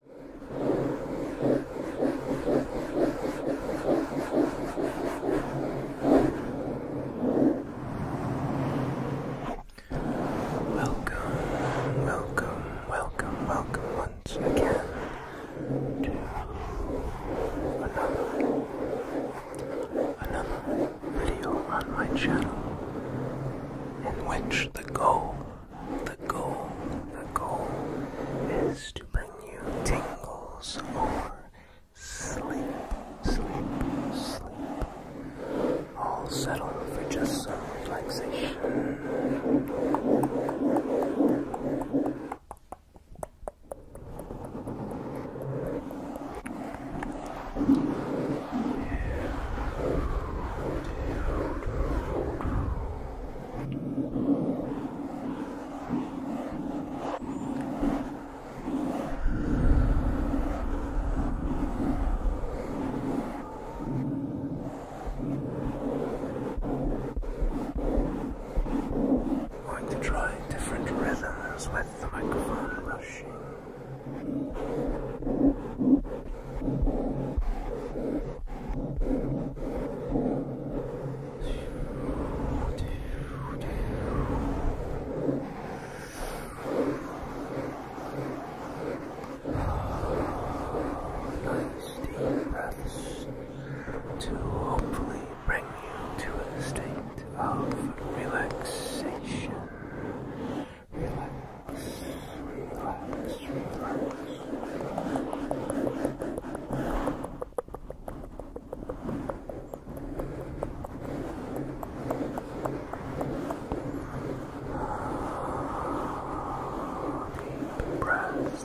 Welcome, welcome, welcome, welcome once again to another, another video on my channel in which the goal the goal, the goal is to bring you tingles or sleep, sleep, sleep. I'll settle for just some relaxation. I'm going to try different rhythms with the microphone rushing. Nice deep breaths to hopefully bring you to a state of relaxation relax, relax, relax. Deep breaths.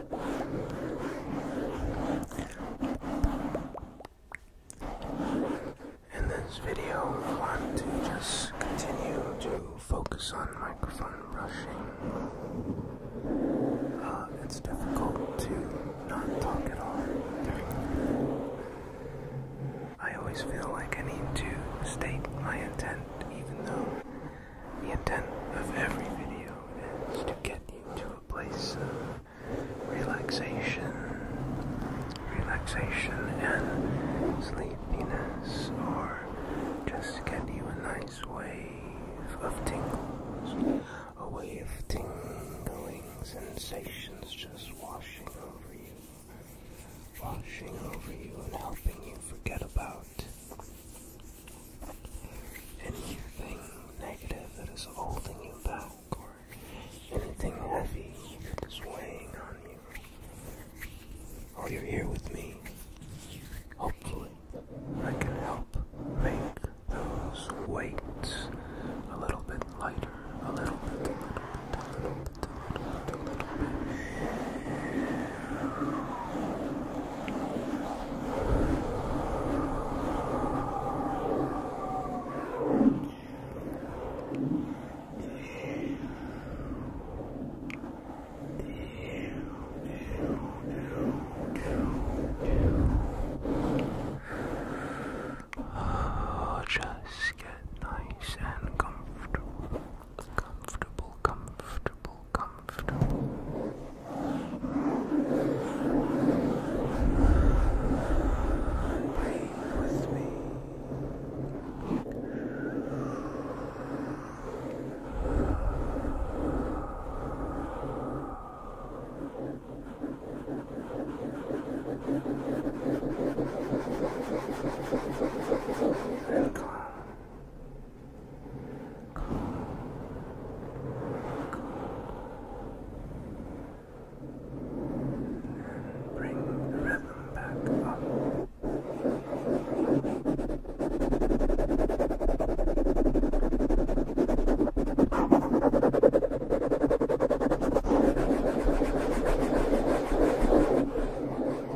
In this video, we want to just continue to focus on microphone brushing. Uh, it's difficult to not talk at all I always feel like I need to state my intent, even though the intent of every video is to get you to a place of relaxation, relaxation and sleepiness, or just get you a nice wave of tingles, a wave of tingling sensations just washing over you, washing over you and helping you forget about Anything negative that is holding you back, or anything heavy that is weighing on you. Or oh, you're here with me. Hopefully, I can help make those weights a little bit lighter, a little bit, a little bit, a little bit, a little bit. A little bit. Oh, just get nice and comfortable comfortable, comfortable, comfortable. Breathe with me. And Calm. Calm. And bring the rhythm back up. Calm.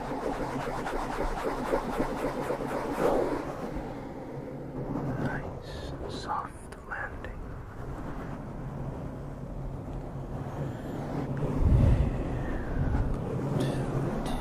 Nice and soft landing. Two, two.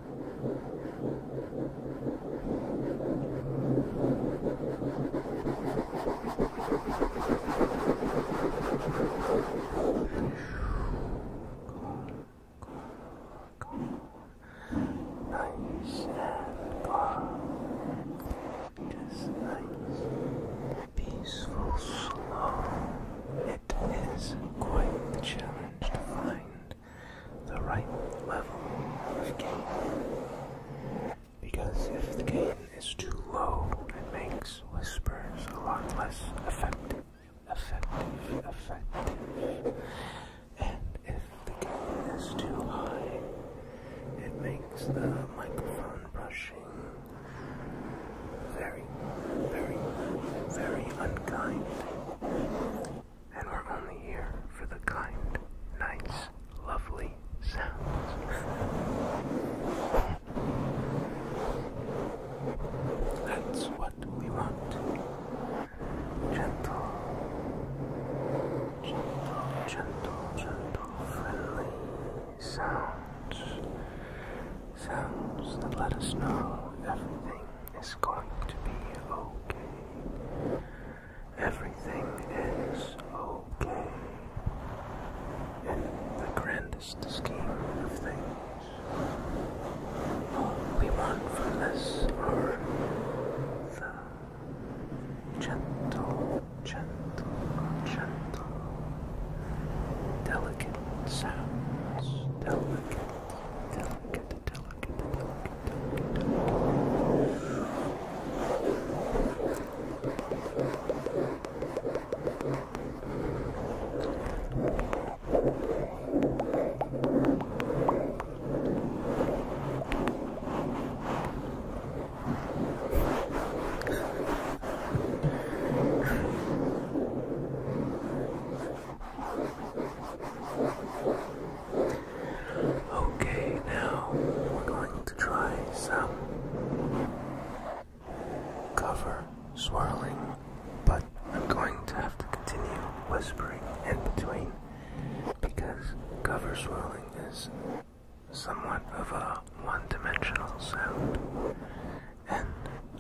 Nice and calm. Just nice, peaceful, slow. It is quite a challenge to find the right level of gain. Because if the gain is too low, it makes whispers a lot less effective, effective, effective. And if the gain is too high, it makes the microphone brushing very, very, very unkind and we're only here for the kind, nice, lovely sounds. That's what we want. Gentle, gentle, gentle, gentle, friendly sounds. Sounds that let us know everything is going to be okay. Everything is okay in the grandest scheme of things. All we want from this are the gentle, gentle, gentle, delicate sounds, delicate, delicate delicate, delicate, delicate, delicate. Okay, now we're going to try some cover swirling, but I'm going to have to continue whispering in between because cover swirling is somewhat of a one dimensional sound, and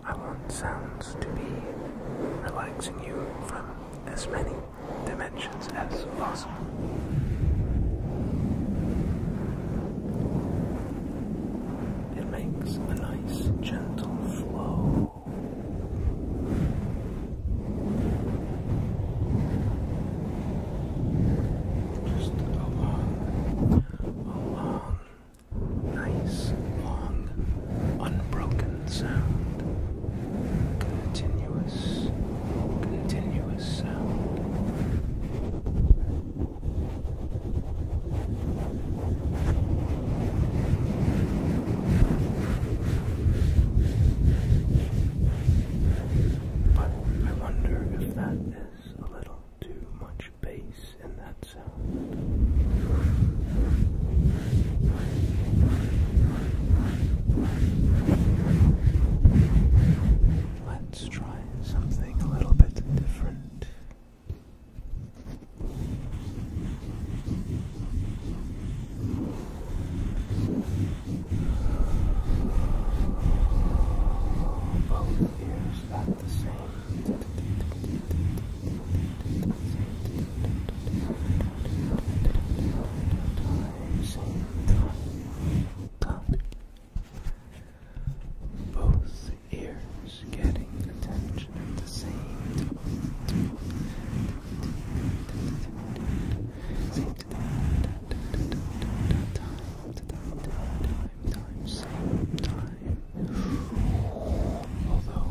I want sounds to be relaxing you from as many dimensions as possible. It makes a nice, gentle flow. Just along, along nice, long, unbroken sound. Continuous, continuous sound. But I wonder if that is a little too much bass in that sound. Let's try something a little bit different. Both ears at the same both ears getting attention at the same time. Same time, same time time. Although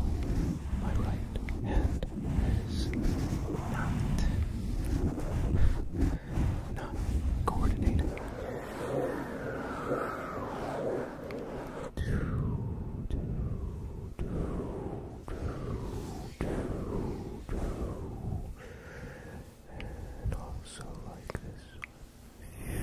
my right hand is not not coordinated. And also like this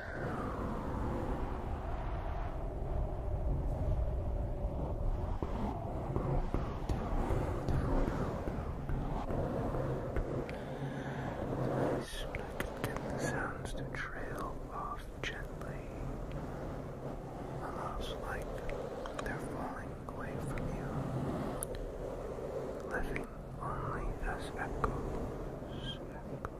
Nice, sounds to trail off gently, almost like they're falling away from you, living only as echoes.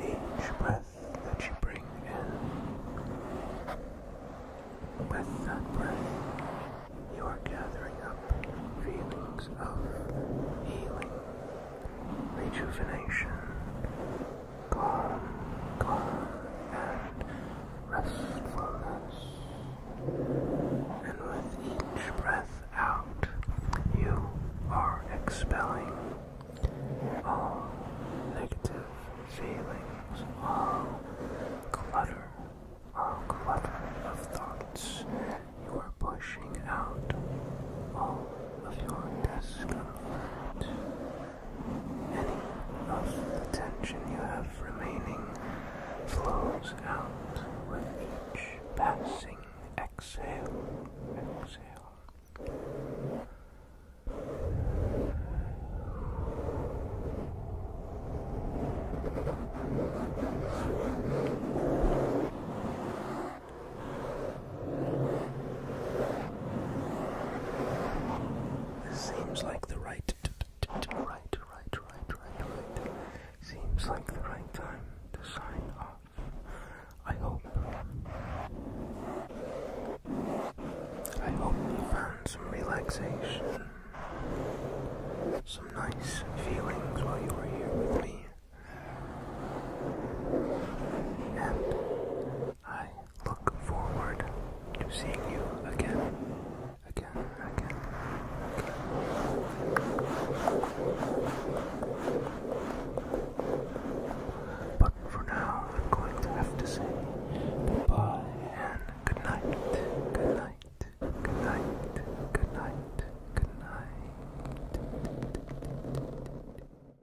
Each breath that you bring in, with that breath, you are gathering up feelings of healing, rejuvenation, calm, calm, and restfulness. And with each breath out, you are expelling all negative feelings, all clutter, all clutter of thoughts. You are pushing out all of your discomfort. Any of the tension you have remaining flows out with each passing exhale. Seems like the right, right, right, right, right, Seems like the right time to sign off. I hope. I hope you found some relaxation, some nice feelings while you were here with me. And I look forward to seeing you again, again, again, again. But for now, I'm going to have to say goodbye and good night, good night, good